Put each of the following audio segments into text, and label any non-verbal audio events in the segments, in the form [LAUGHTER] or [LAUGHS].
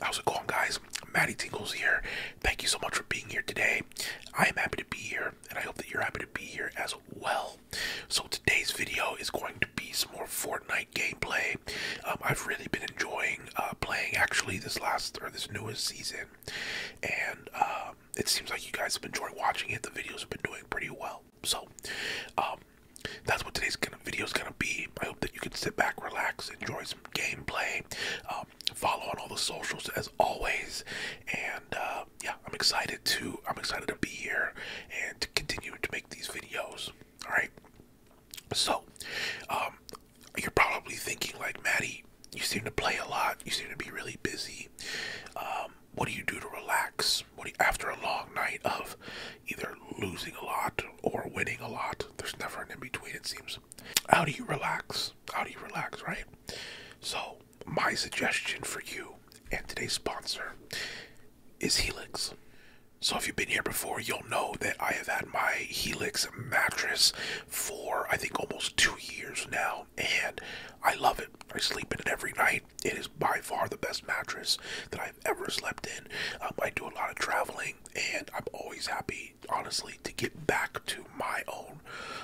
How's it going, guys? Maddie Tingles here. Thank you so much for being here today. I am happy to be here, and I hope that you're happy to be here as well. So today's video is going to be some more Fortnite gameplay. Um, I've really been enjoying uh, playing actually this last or this newest season, and um, it seems like you guys have enjoyed watching it. The videos have been doing pretty well. So, um, that's what today's video is going to be. I hope that you can sit back, relax, enjoy some gameplay. Um, follow on all the socials as always, and uh, yeah, I'm excited to I'm excited to be here and to continue to make these videos. All right. So, um, you're probably thinking like Maddie, you seem to play a lot. You seem to be really busy. Um, what do you do to relax? What after a long night of either losing a lot or winning a lot? There's never an in between, it seems. How do you relax? How do you relax, right? So, my suggestion for you and today's sponsor is Helix. So, if you've been here before, you'll know that I have had my Helix mattress for I think almost two years now, and I love it. I sleep in it every night. It is by far the best mattress that I've ever slept in. Um, I do a lot of traveling and I'm always happy, honestly, to get back to my own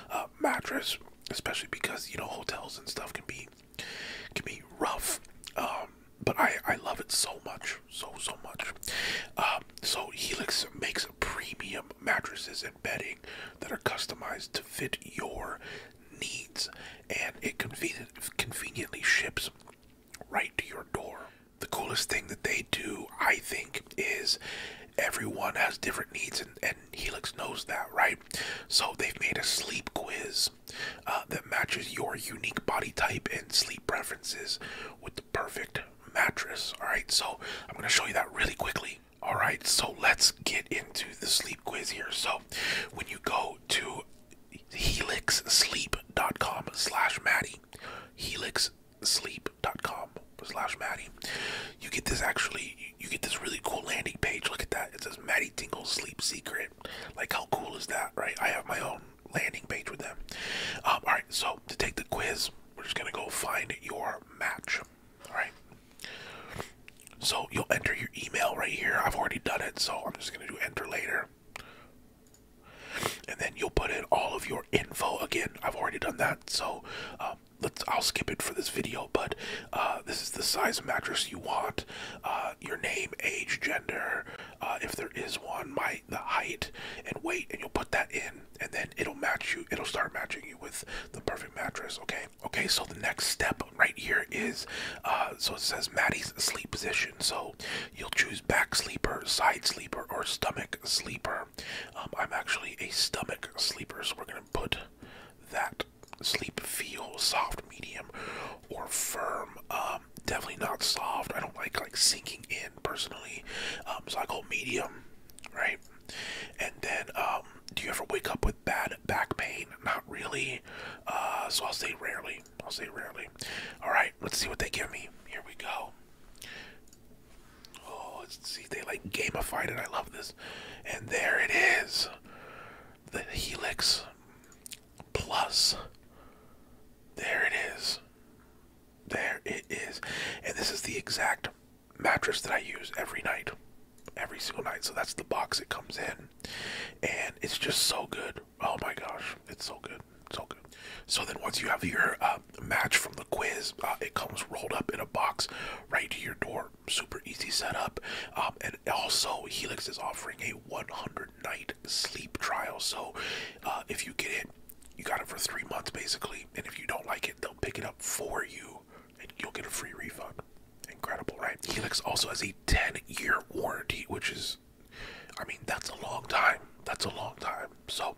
uh, mattress, especially because you know hotels and stuff can be can be rough. Um, but I I love it so much, so so much. Um, so Helix makes premium mattresses and bedding that are customized to fit your needs, and it convenient, conveniently ships right to your door the coolest thing that they do, I think, is everyone has different needs, and, Helix knows that, right? So they've made a sleep quiz uh, that matches your unique body type and sleep preferences with the perfect mattress, all right? So I'm gonna show you that really quickly. All right, so let's get into the sleep quiz here. So when you go to helixsleep.com slash Maddie, helixsleep.com slash Maddie. You get this actually, you get this really cool landing page. Look at that. It says Maddie Tingle Sleep Secret. Like, how cool is that, right? I have my own landing page with them. Um, all right, so to take the quiz, we're just going to go find your match. All right. So you'll enter your email right here. I've already done it, so I'm just going to do enter later and then you'll put in all of your info again i've already done that so um, let's i'll skip it for this video but uh, this is the size mattress you want uh, your name age gender uh, if there is one my the height and weight and you'll put that in and then it'll match you it'll start matching you with the perfect mattress okay okay so the next step right here is so it says maddie's sleep position so You'll choose back sleeper, side sleeper, or stomach sleeper. Um, I'm actually a stomach sleeper, so we're going to put that sleep feel soft, medium, or firm. Um, definitely not soft. I don't like like sinking in personally. Um, so I go medium, right? And then, do you ever wake up with bad back pain? Not really. Uh, so I'll say rarely. I'll say rarely. All right, let's see what they give me. Here we go. Oh, let's see, they like gamified it. I love this. And there it is. The Helix Plus. There it is. There it is. And this is the exact mattress that I use every night. Every single night. So that's the box it comes in. And it's just so good. Oh my gosh. It's so good good. good. So then, once you have your uh, match from the quiz, uh, it comes rolled up in a box right to your door. Super easy setup. Um, and also, Helix is offering a 100 night sleep trial. So uh, if you get it, you got it for three months basically. And if you don't like it, they'll pick it up for you and you'll get a free refund. Incredible, right? Helix also has a 10 year warranty, which is I mean, that's a long time. That's a long time. So,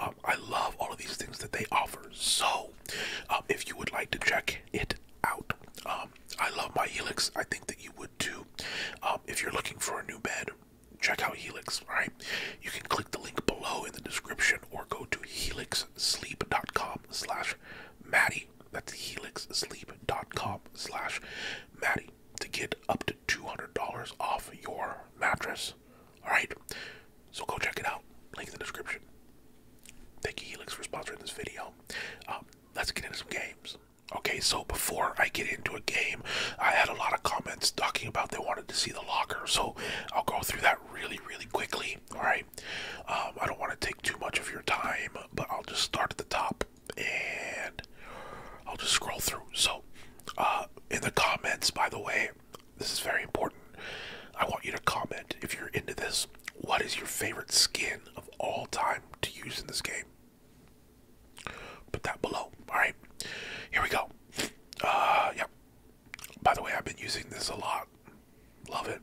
um, I love all of these things that they offer. So, um, if you would like to check it out, um, I love my Helix. I think that you would too. if you're looking for a new bed, check out Helix. Right. you can click the link below in the description or go to helixsleep.com/slash Maddie. That's helixsleep.com/slash Maddie to get up to $200 off your mattress. Alright, so go check it out. Link in the description. Thank you, Helix, for sponsoring this video. Um, let's get into some games. Okay, so before I get into a game, I had a lot of comments talking about they wanted to see the locker, so I'll go through that really, really quickly. All right, um, I don't want to take too much of your time, but I'll just start at the top and I'll just scroll through. So, uh, in the comments, by the way, this is very important. I want you to comment if you're into this. What is your favorite skin of all time to use in this game? Put that below. All right, here we go. Uh, yep. By the way, I've been using this a lot. Love it.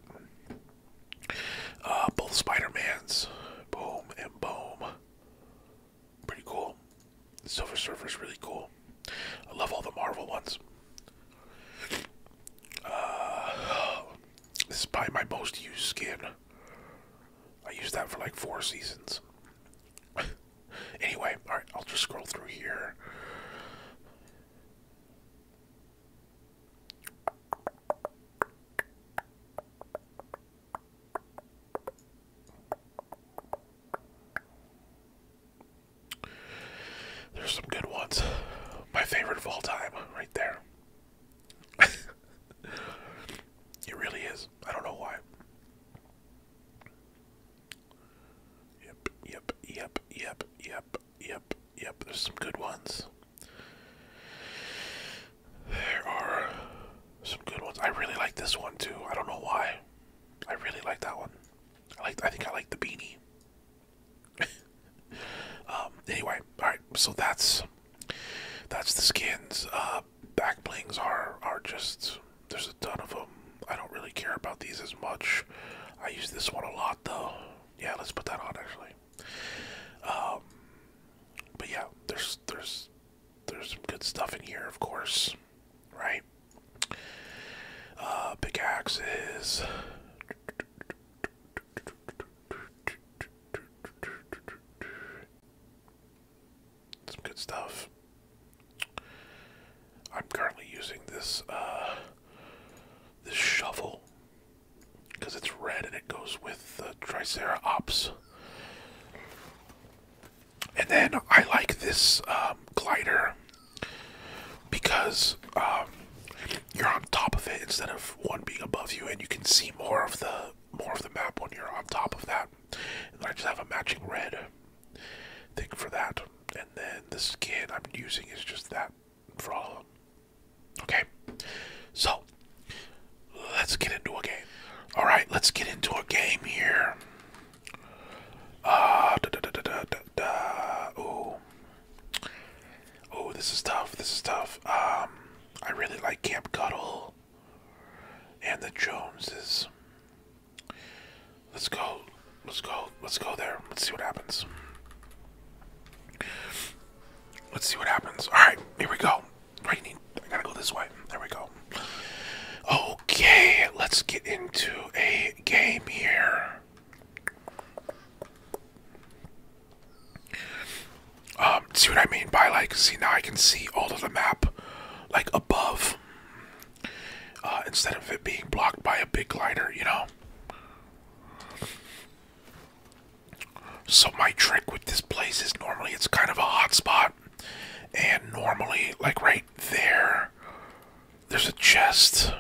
Uh, both Spider-Mans. Boom and boom pretty cool. The Silver Surfer's really cool. I love all the Marvel ones. Uh, this is probably my most used skin. I used that for like four seasons. [LAUGHS] anyway, alright, I'll just scroll through here. There's some good ones. My favorite of all time, right there. [LAUGHS] it really is. I don't know why. Yep, yep, yep, yep, yep, yep, yep. There's some good ones. There are some good ones. I really like this one too. I don't know why. I really like that one. I like. I think I like the beanie. [LAUGHS] um. Anyway, all right. So that's that's the skins. Uh, back blings are are just. There's a ton of them. I don't really care about these as much. I use this one a lot though. Yeah, let's put that on actually. Um, but yeah, there's there's there's some good stuff in here, of course, right? Uh, pickaxes. Some good stuff. I'm currently using this uh, this shovel because it's red and it goes with the Triceratops. And then I like this um, glider because um, you're on top of it instead of one being above you, and you can see more of the more of the map when you're on top of that. And I just have a matching red thing for that. And then the skin I'm using is just that for all of them. Okay, so let's get into a game. All right, let's get into a game here. Uh, da, da, da, da, da, da. Oh, oh, this is tough. This is tough. Um, I really like Camp Cuddle and the Joneses. Let's go. Let's go. Let's go there. Let's see what happens. Let's see what happens. All right, here we go raining. I gotta go this way. There we go. Okay, let's get into a game here. Um, see what I mean by like, see now I can see all of the map like above uh, instead of it being blocked by a big glider, you know? So my trick with this place is normally it's kind of a hot spot and normally, like right there, there's a chest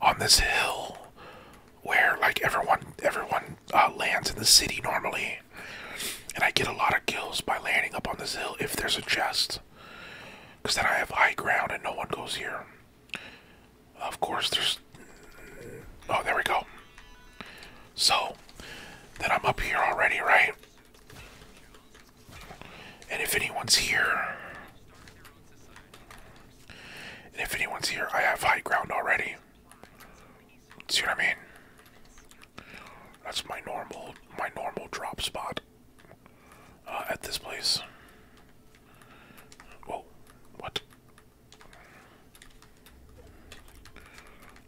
on this hill where like everyone everyone uh, lands in the city normally. And I get a lot of kills by landing up on this hill if there's a chest. Because then I have high ground and no one goes here. Of course, there's. Oh, there we go. So, that I'm up here already, right? And if anyone's here, and if anyone's here, I have high ground already. See what I mean? That's my normal, my normal drop spot uh, at this place. Whoa, what?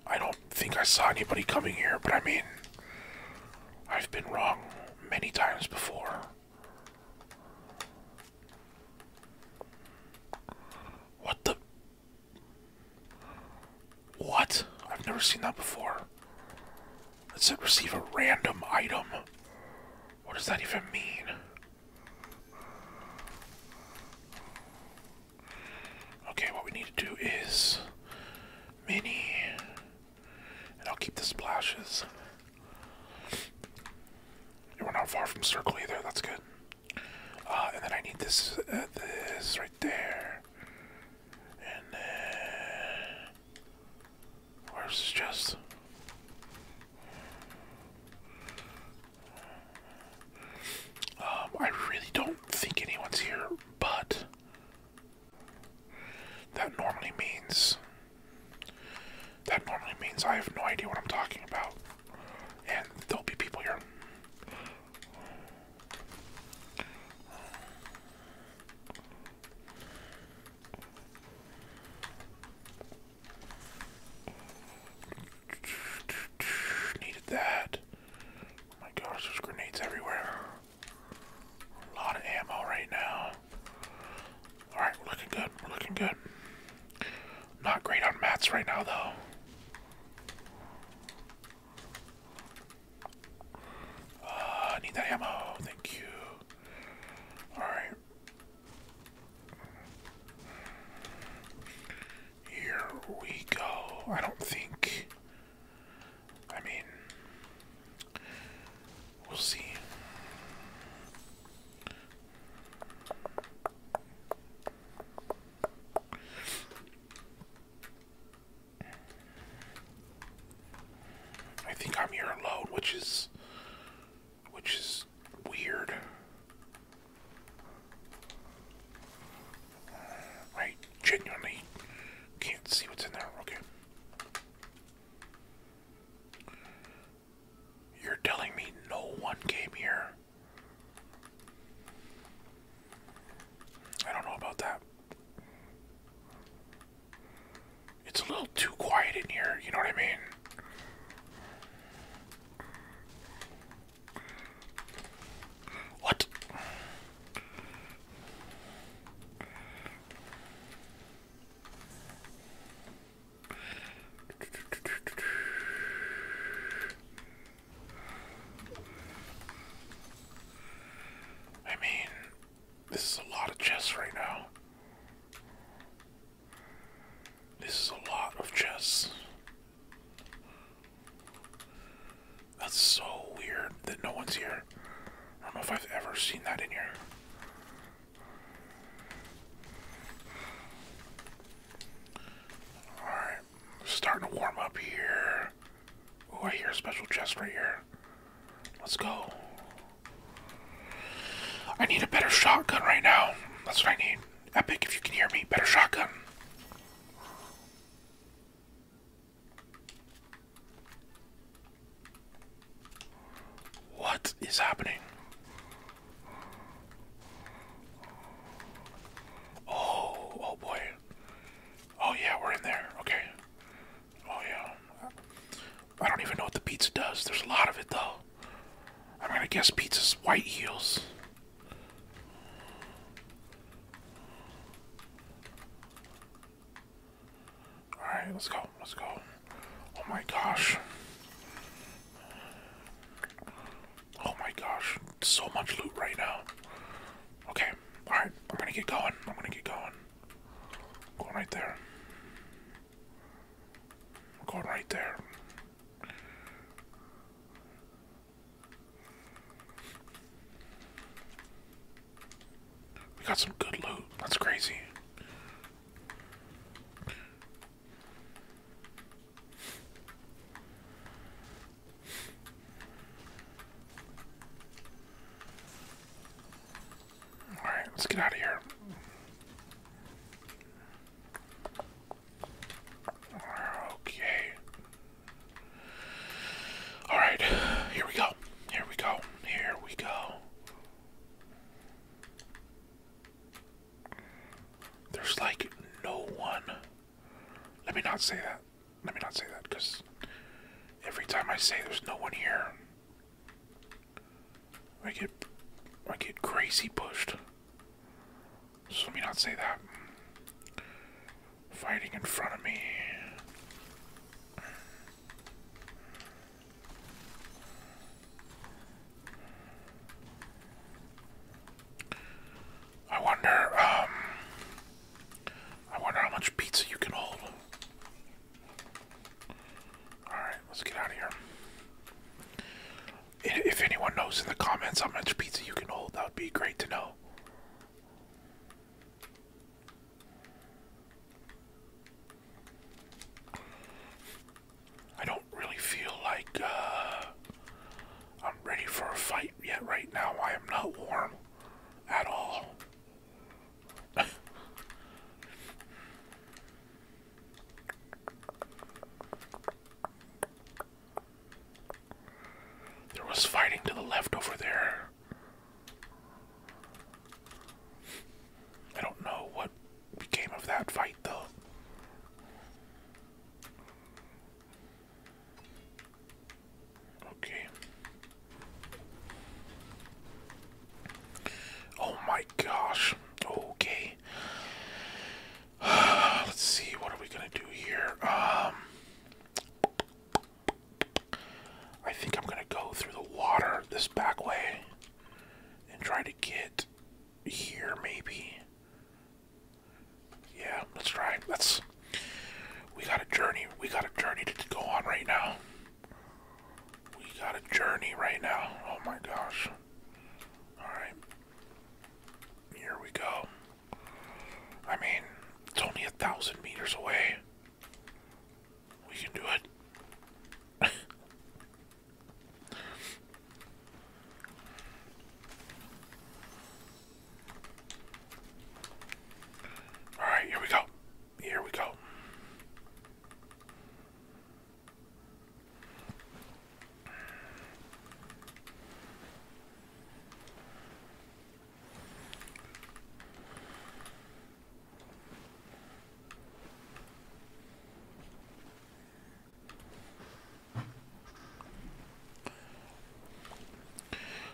I don't think I saw anybody coming here, but I mean, I've been wrong many times before. What the? What? I've never seen that before. It said receive a random item. What does that even mean? Okay, what we need to do is mini, and I'll keep the splashes. We're not far from circle either. That's good. Uh, and then I need this, uh, this right there, and then where's the chest? Um, I really don't think anyone's here, but that normally means that normally means I have no idea what I'm talking about, and there'll be people here. Needed that. my gosh, there's grenades everywhere. A lot of ammo right now. Alright, we're looking good. We're looking good. Not great on mats right now, though. Uh, need that ammo. Thank you. Alright. Here we go. I don't think. I mean, we'll see. I think I'm here alone, which is which is weird. I genuinely can't see what's in there. Okay. You're telling me no one came here? I don't know about that. It's a little too quiet in here, you know what I mean? What? I mean, this is a lot of chess right now. This is a lot of chess. That's so weird that no one's here. I don't know if I've ever seen that in here. Alright, starting to warm up here. Oh, I hear a special chest right here. Let's go. I need a better shotgun right now. That's what I need. Epic, if you can hear me, better shotgun. What is happening? Oh, oh boy. Oh yeah, we're in there. Okay. Oh yeah. I don't even know what the pizza does. There's a lot of it though. I'm gonna guess pizza's white heels. Alright, let's go, let's go. Oh my gosh. Oh my gosh, so much loot right now. Okay, alright, I'm gonna get going. I'm gonna get going. going right there. I'm going right there. We got some good loot. That's crazy. All right, let's get out of here. Okay. All right. Here we go. Here we go. Here we go. There's like no one. Let me not say that. Let me not say that because every time I say there's no one here, I get I get crazy pushed. So let me not say that. Fighting in front of me. I wonder, um, I wonder how much pizza you can hold. Alright, let's get out of here. If anyone knows in the comments how much pizza you can hold, that would be great to know. I don't really feel like uh, I'm ready for a fight yet right now. I am not warm at all. [LAUGHS] There was fighting to the left over there. I don't know what became of that fight though. Okay. Oh my gosh. Okay. [SIGHS] Let's see, what are we gonna do here? Um, I think I'm gonna go through the water this back way and try to get here, maybe. Yeah, let's try. Let's. We got a journey. We got a journey to go on right now. We got a journey right now. Oh my gosh. Alright. Here we go. I mean, it's only a thousand meters away. We can do it. [LAUGHS] All right, here we go. Here we go.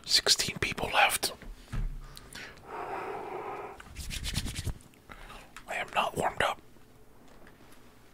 Sixteen people left. I am not warmed up.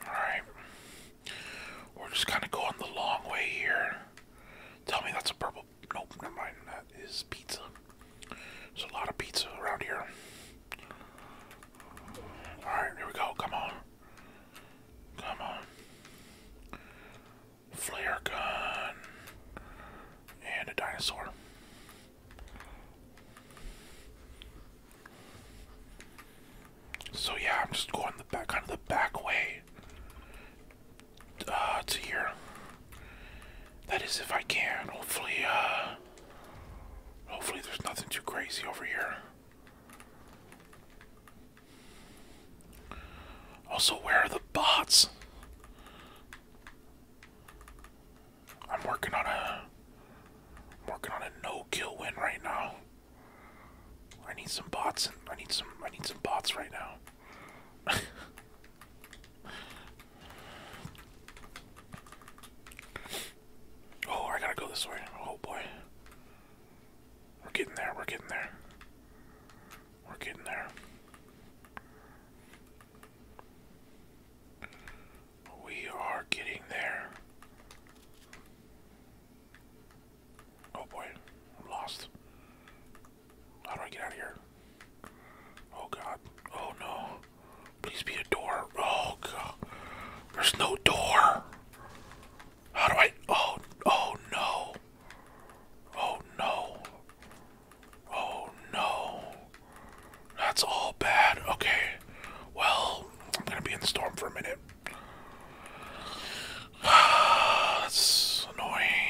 Alright. We're just kind of going the long way here. Tell me that's a purple. Nope, never mind. That is pizza. There's a lot of pizza around here. Alright, here we go. Come on. Come on. Flare gun. And a dinosaur. So yeah, I'm just going the back, kind of the back way uh, to here. That is, if I can. Hopefully, uh, hopefully there's nothing too crazy over here. Also, where are the bots? I'm working on a I'm working on a no kill win right now. I need some bots. And I need some. I need some bots right now. [LAUGHS] oh, I gotta go this way. Oh boy, we're getting there. We're getting there. We're getting there. We are getting there. Oh boy, I'm lost. How do I get out of here? Oh god. Oh no. Please be a door. Oh god. There's no door. How do I. Oh, oh no. Oh no. Oh no. That's all bad. Okay. Well, I'm gonna be in the storm for a minute. [SIGHS] That's annoying.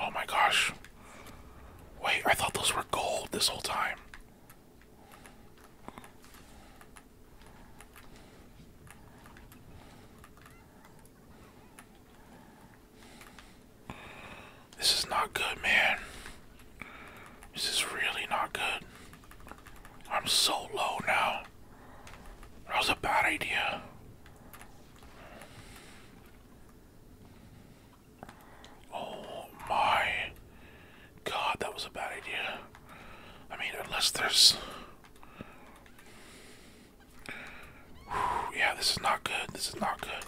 Oh my gosh. Wait, I thought those were gold this whole time. This is not good, man. This is really not good. I'm so low now. That was a bad idea. Oh my god, that was a bad idea. I mean, unless there's yeah, this is not good. This is not good.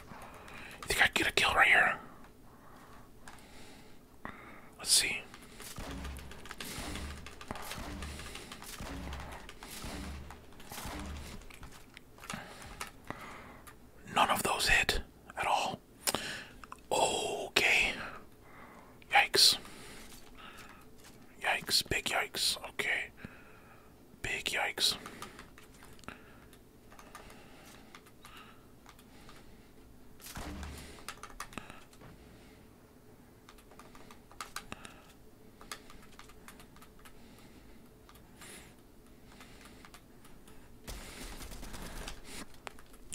You think I get a kill right here? Let's see. None of those hit at all. Okay. Yikes. Yikes. Big yikes. Okay. Big yikes.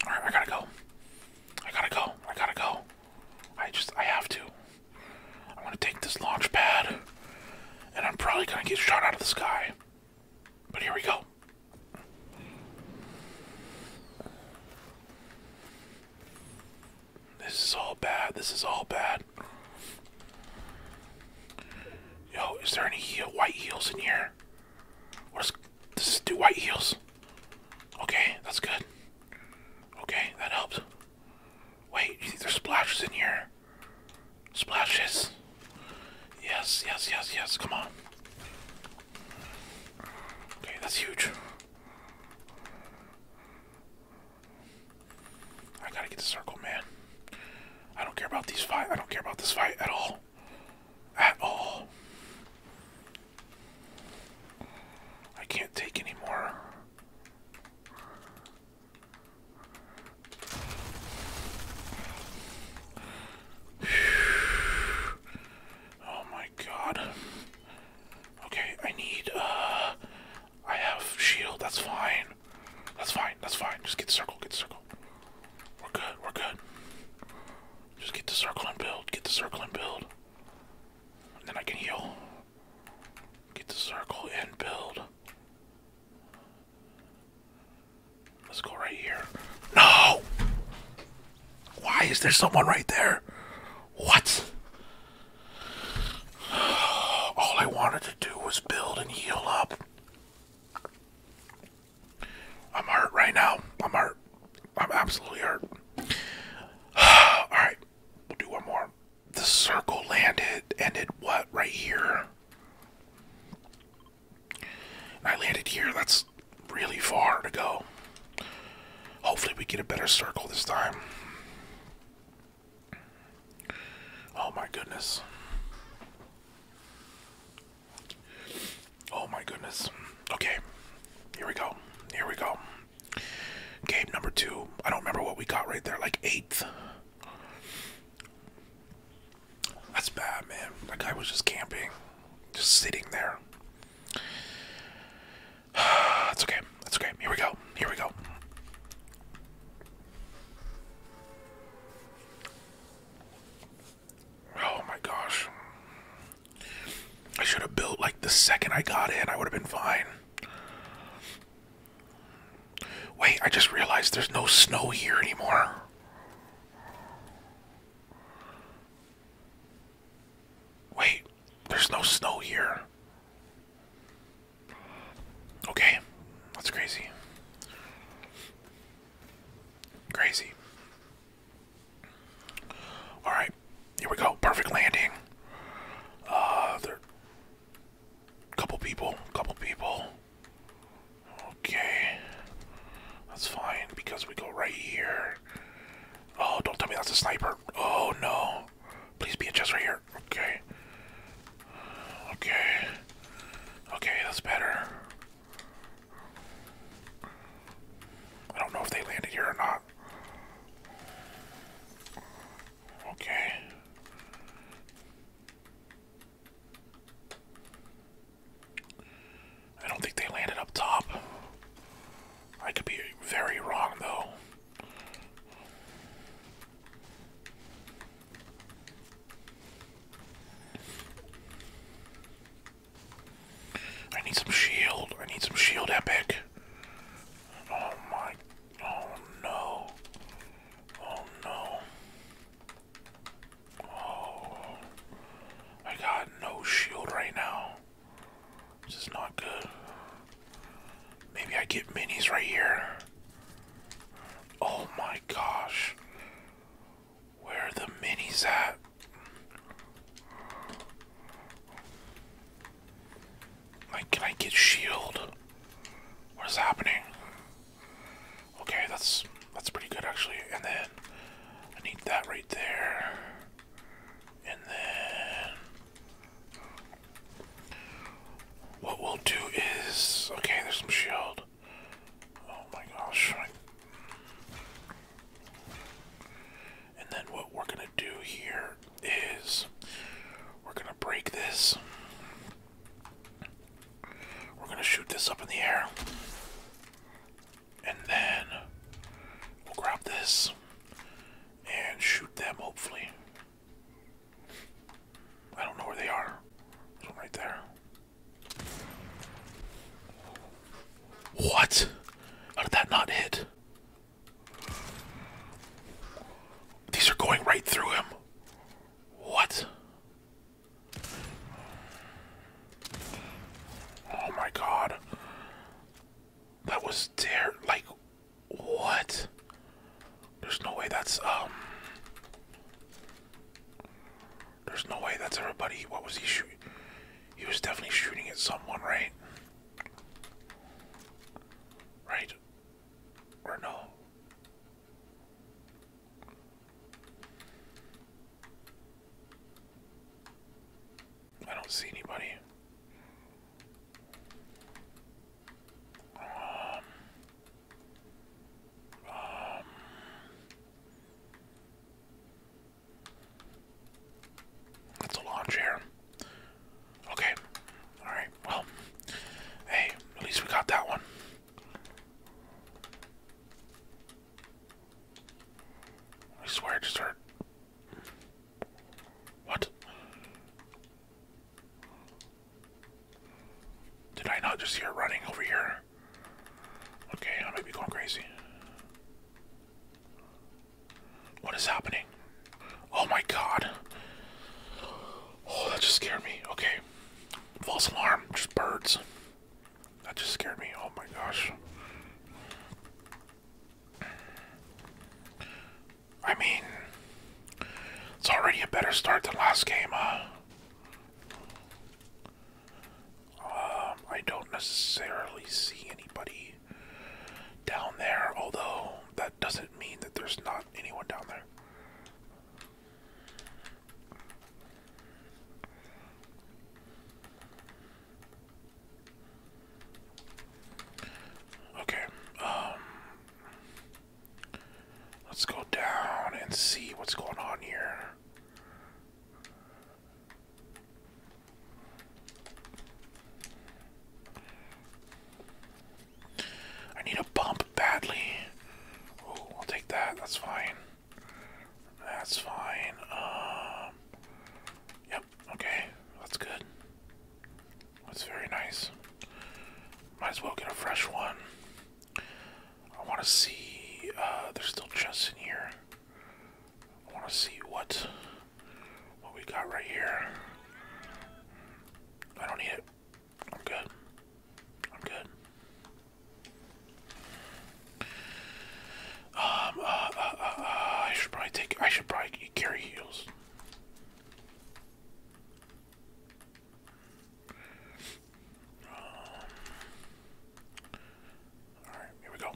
All right, I gotta go. I gotta go. I gotta go. I just, I have to. I want to take this launch pad. And I'm probably gonna get shot out of the sky. But here we go. This is all bad. This is all bad. Yo, is there any white heels in here? Does this? do white heels? Okay, that's good. Okay, that helps. Wait, you think there's splashes in here? Splashes. Yes, yes, yes, yes. Come on. Okay, that's huge. I gotta get the circle, man. I don't care about these fight. I don't care about this fight at all. At all. I can't take anymore. Oh my god. Okay, I need, uh, I have shield, that's fine. That's fine, that's fine. Just get the circle, get the circle. We're good, we're good. Just get the circle and build, get the circle and build. then I can heal. Get the circle and build. Let's go right here. No! Why is there someone right there? What? [SIGHS] All I wanted to do was build and heal up. I'm hurt right now. I'm hurt. I'm absolutely hurt. [SIGHS] Alright, we'll do one more the circle landed ended what right here. I landed here. That's really far to go. Hopefully we get a better circle this time. Oh my goodness. Oh my goodness. Okay. Here we go. Here we go. Game number two. I don't remember what we got right there. Like eighth. That's bad, man. That guy was just camping, just sitting there. That's [SIGHS] okay. That's okay. Here we go. Here we go. Oh my gosh. I should have built like the second I got in, I would have been fine. Wait, I just realized there's no snow here anymore. Wait, there's no snow here. Okay, that's crazy. Crazy. Alright, here we go. Perfect landing. Uh, there, Couple people, couple people. Okay. That's fine because we go right here. Oh, don't tell me that's a sniper. Oh no. Please be a chest right here. Okay. Okay. Okay, that's better. I don't know if they landed here or not. Okay. I don't think they landed up top. I could be very wrong though. I need some shield. I need some shield epic. Oh my Oh no. Oh no. Oh. I got no shield right now. This is not good. Maybe I get minis right here. Oh my gosh. Where are the minis at? Like, can I get shield? What is happening? Okay, that's that's pretty good actually. And then I need that right there. And then what we'll do is okay. There's some shield. Oh my gosh. And then what we're gonna do here is we're going to break this. We're going to shoot this up in the air. And then we'll grab this and shoot them, hopefully. I don't know where they are. There's right there. What? How did that not hit? These are going right through him. What? Oh my god. That was there. Like, what? There's no way that's, um. There's no way that's everybody. What was he shooting? He was definitely shooting at someone, right? Right? Or no. I don't see anybody. Um, um, that's a lawn chair. Okay. Alright, well. Hey, at least we got that one. I swear I just heard. What? Did I not just hear running over here? Okay, I might be going crazy. What is happening? Oh my god. Oh, that just scared me. Okay. False alarm. Just birds. That just scared me. Oh my gosh. I mean, it's already a better start than last game, Um, I don't necessarily see anybody down there, although. That doesn't mean that there's not anyone down there. Okay, um, let's go down and see what's going on here. I need a pump badly. Oh, I'll take that. That's fine. That's fine. Um, yep. Okay. That's good. That's very nice. Might as well get a fresh one. I want to see. Uh, there's still chests in here. I want to see what what we got right here. I don't need it. I'm good. I'm good. Um, uh, uh, uh, uh, I should probably take, I should probably carry heels. Um, Alright, here we go.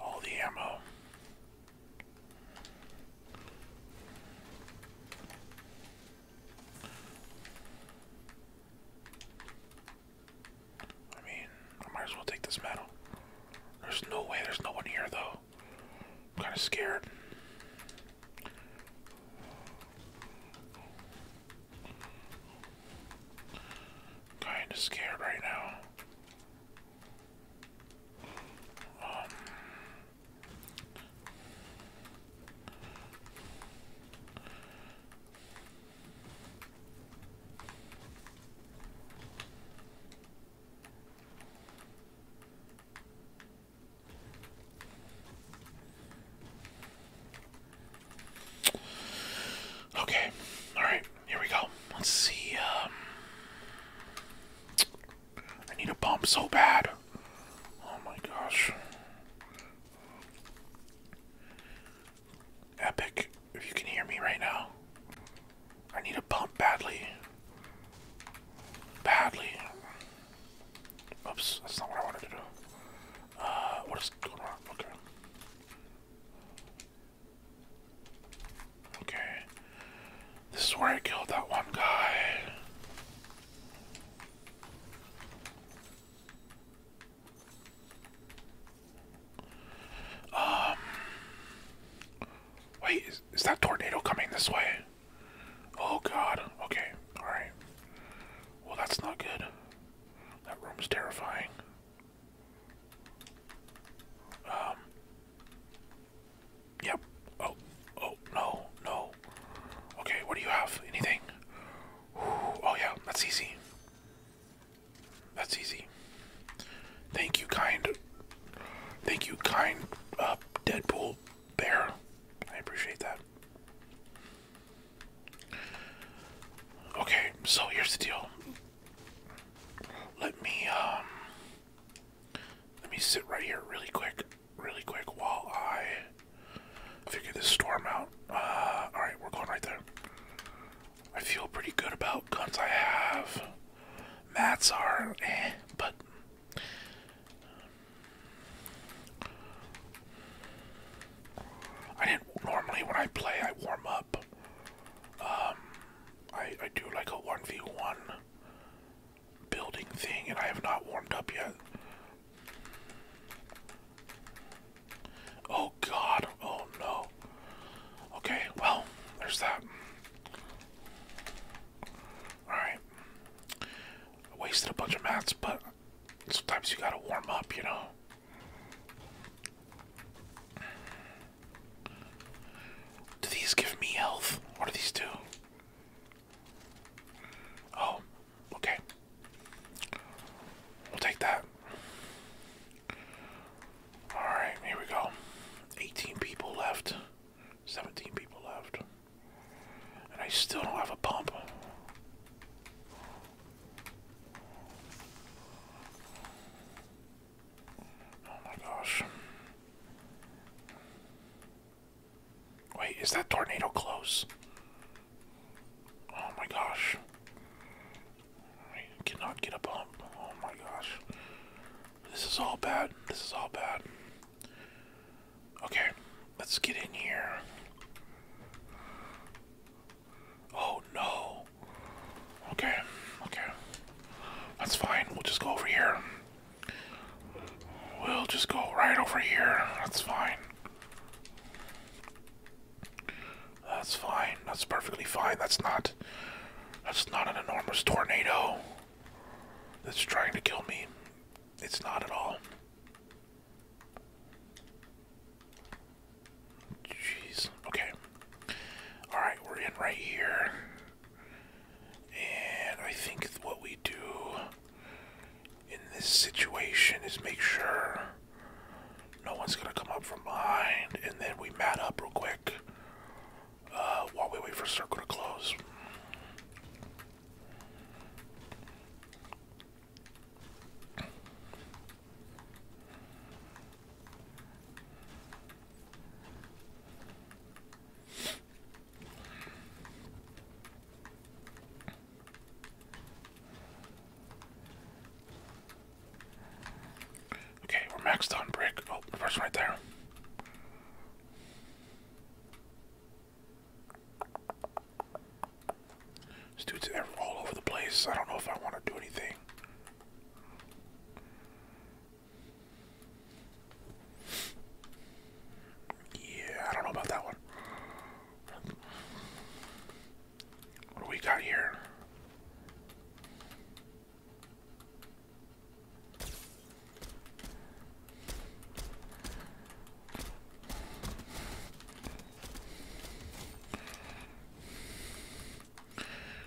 All the ammo. I mean, I might as well take this medal. There's no way there's no one here, though. I'm kind of scared. Kind of scared right now. Um, Okay, all right, here we go. Let's see. Um, I need a bump so bad. Oh my gosh. Epic, if you can hear me right now. I need a bump badly. Badly. Oops, that's not what I wanted to do. Uh, what is going on? Okay. Okay. This is where I killed that one guy. Um. Wait, is, is that tornado coming this way? Oh god. Okay, alright. Well, that's not good. That room's terrifying. Um. Yep. Oh, oh, no, no. Okay, what do you have? Anything? oh, yeah, that's easy. That's easy. Thank you, kind. Thank you, kind uh, Deadpool bear. I appreciate that. Okay, so here's the deal. Let me, um. Let me sit right here really quick, really quick while I figure this storm out. Uh, Alright, we're going right there. I feel pretty good about guns I have. Mats are eh, but. I didn't normally when I play I warm up. Um, I I do like a 1v1 building thing, and I have not warmed up yet. Oh god, oh no. Okay, well, there's that. Alright. I wasted a bunch of mats, but sometimes you gotta warm up, you know. Do these give me health? What do these do? Oh, okay. We'll take that. Alright, here we go. 18 people left. 17 people left. And I still don't have a pump. Oh my gosh. Wait, is that tornado close? Oh my gosh. I cannot get a bump. Oh my gosh. This is all bad. This is all bad. Okay, let's get in here. Oh no. Okay, okay. That's fine. We'll just go over here. We'll just go right over here. That's fine. That's fine. That's perfectly fine. That's not. That's not an enormous tornado that's trying to kill me. It's not at all. Jeez. Okay. Alright, we're in right here. And I think what we do in this situation is make sure no one's gonna come up from behind, and then we mat up real quick uh, while we wait for circle to close. Okay, we're maxed on brick. Oh, person right there. This dude's all over the place. I don't know if I want to do anything. Yeah, I don't know about that one. What do we got here?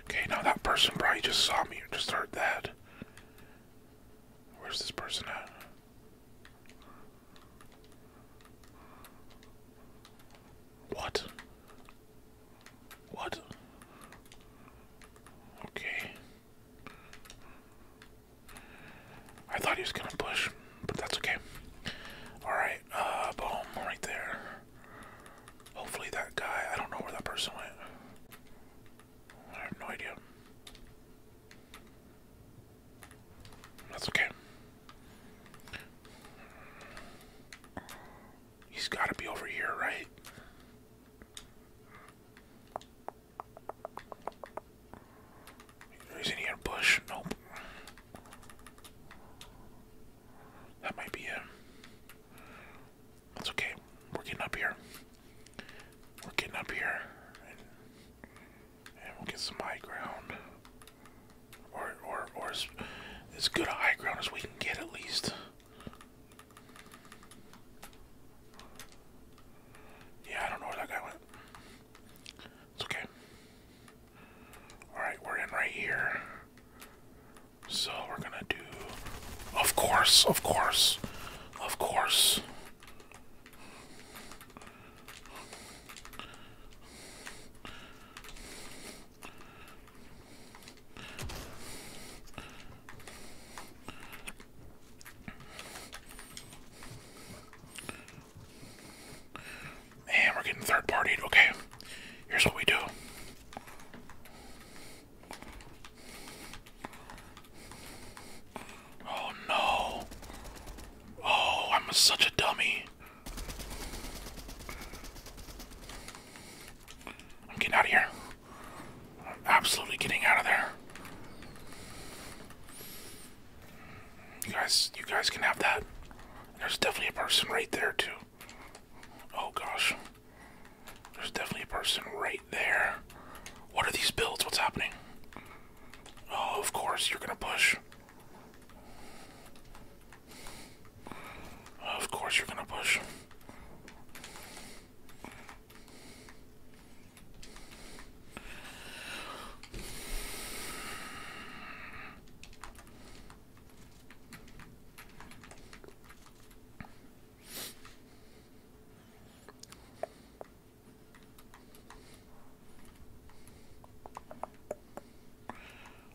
Okay, now that person bro, you just saw me you just heard that. Where's this person at? What? What? Okay. I thought he was gonna push, but that's okay. Alright, uh, boom, right there. Hopefully that guy, I don't know where that person went. I have no idea. That's okay. He's got to be over here, right? Is in a bush? Nope. That might be him. That's okay. We're getting up here. We're getting up here. And, we'll get some high ground. Or, or, or as, good a high ground as we can get at least. Yeah, I don't know where that guy went. It's okay. Alright, we're in right here. So we're gonna do. Of course, of course, of course. And we're getting third partied. Okay, here's what we do. Oh no. Oh, I'm such a dummy. I'm getting out of here. I'm absolutely getting out of there. You guys, you guys can have that. There's definitely a person right there too. Oh gosh. There's definitely a person right there. What are these builds? What's happening? Oh, of course, you're gonna push. Of course, you're gonna push.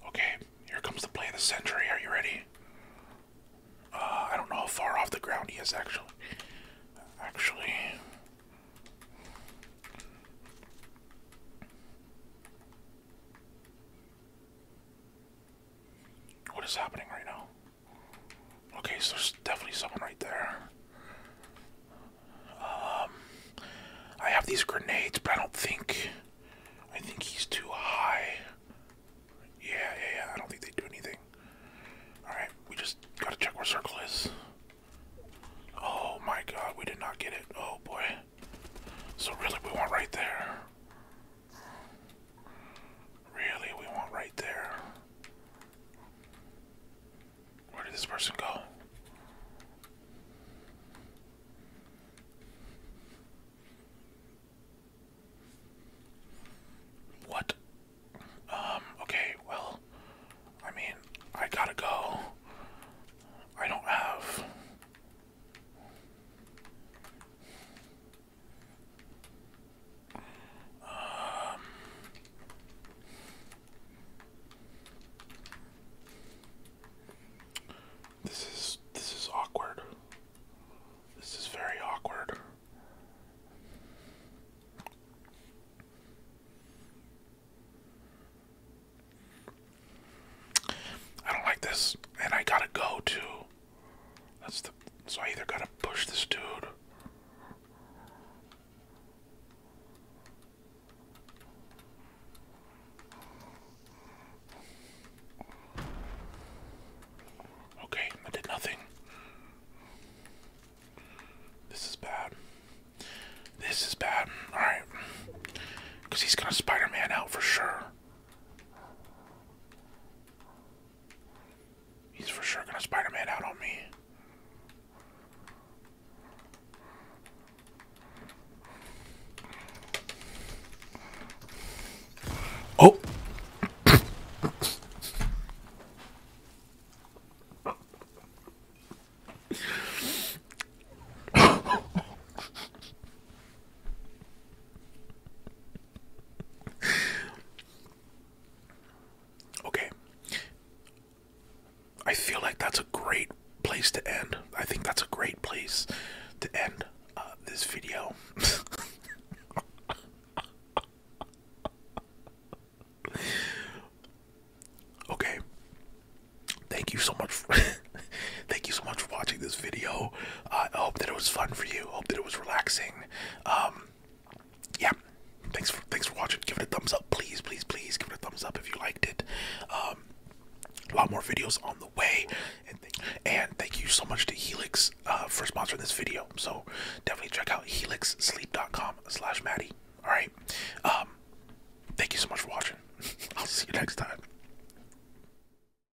Okay, here comes the play of the century. Are you ready? Uh, I don't know how far off the ground he is actually. Actually. What is happening right now? Okay, so there's definitely someone right there. Um, I have these grenades, but I don't think. I think he's too high. Yeah, yeah, yeah. I don't think they do anything. Alright, we just gotta check where circle is. Oh my god, we did not get it. Oh boy. So, really, we weren't right there. Really, we want right there. Where did this person go? What? Um, okay, well, I mean, I gotta go. I don't have this is this is awkward. This is very awkward. I don't like this, and I gotta go to that's the so I either gotta push this dude. Okay, I did nothing. This is bad. This is bad. Alright. Because he's going to Spider Man out for sure. He's for sure gonna Spider-Man out on me. Oh. [LAUGHS] okay. I feel like that's a great place to end. I think that's a great place to end uh, this video. [LAUGHS] okay. Thank you so much [LAUGHS] Thank you so much for watching this video. I hope that it was fun for you. Hope that it was relaxing. Um, yeah. Thanks for thanks for watching. Give it a thumbs up, please, please, please. Give it a thumbs up if you liked it. Um, a lot more videos on the way, and thank you so much to Helix uh, for sponsoring this video. So definitely check out helixsleep.com/slash Maddie. All right. Um, thank you so much for watching. [LAUGHS] I'll see you next time.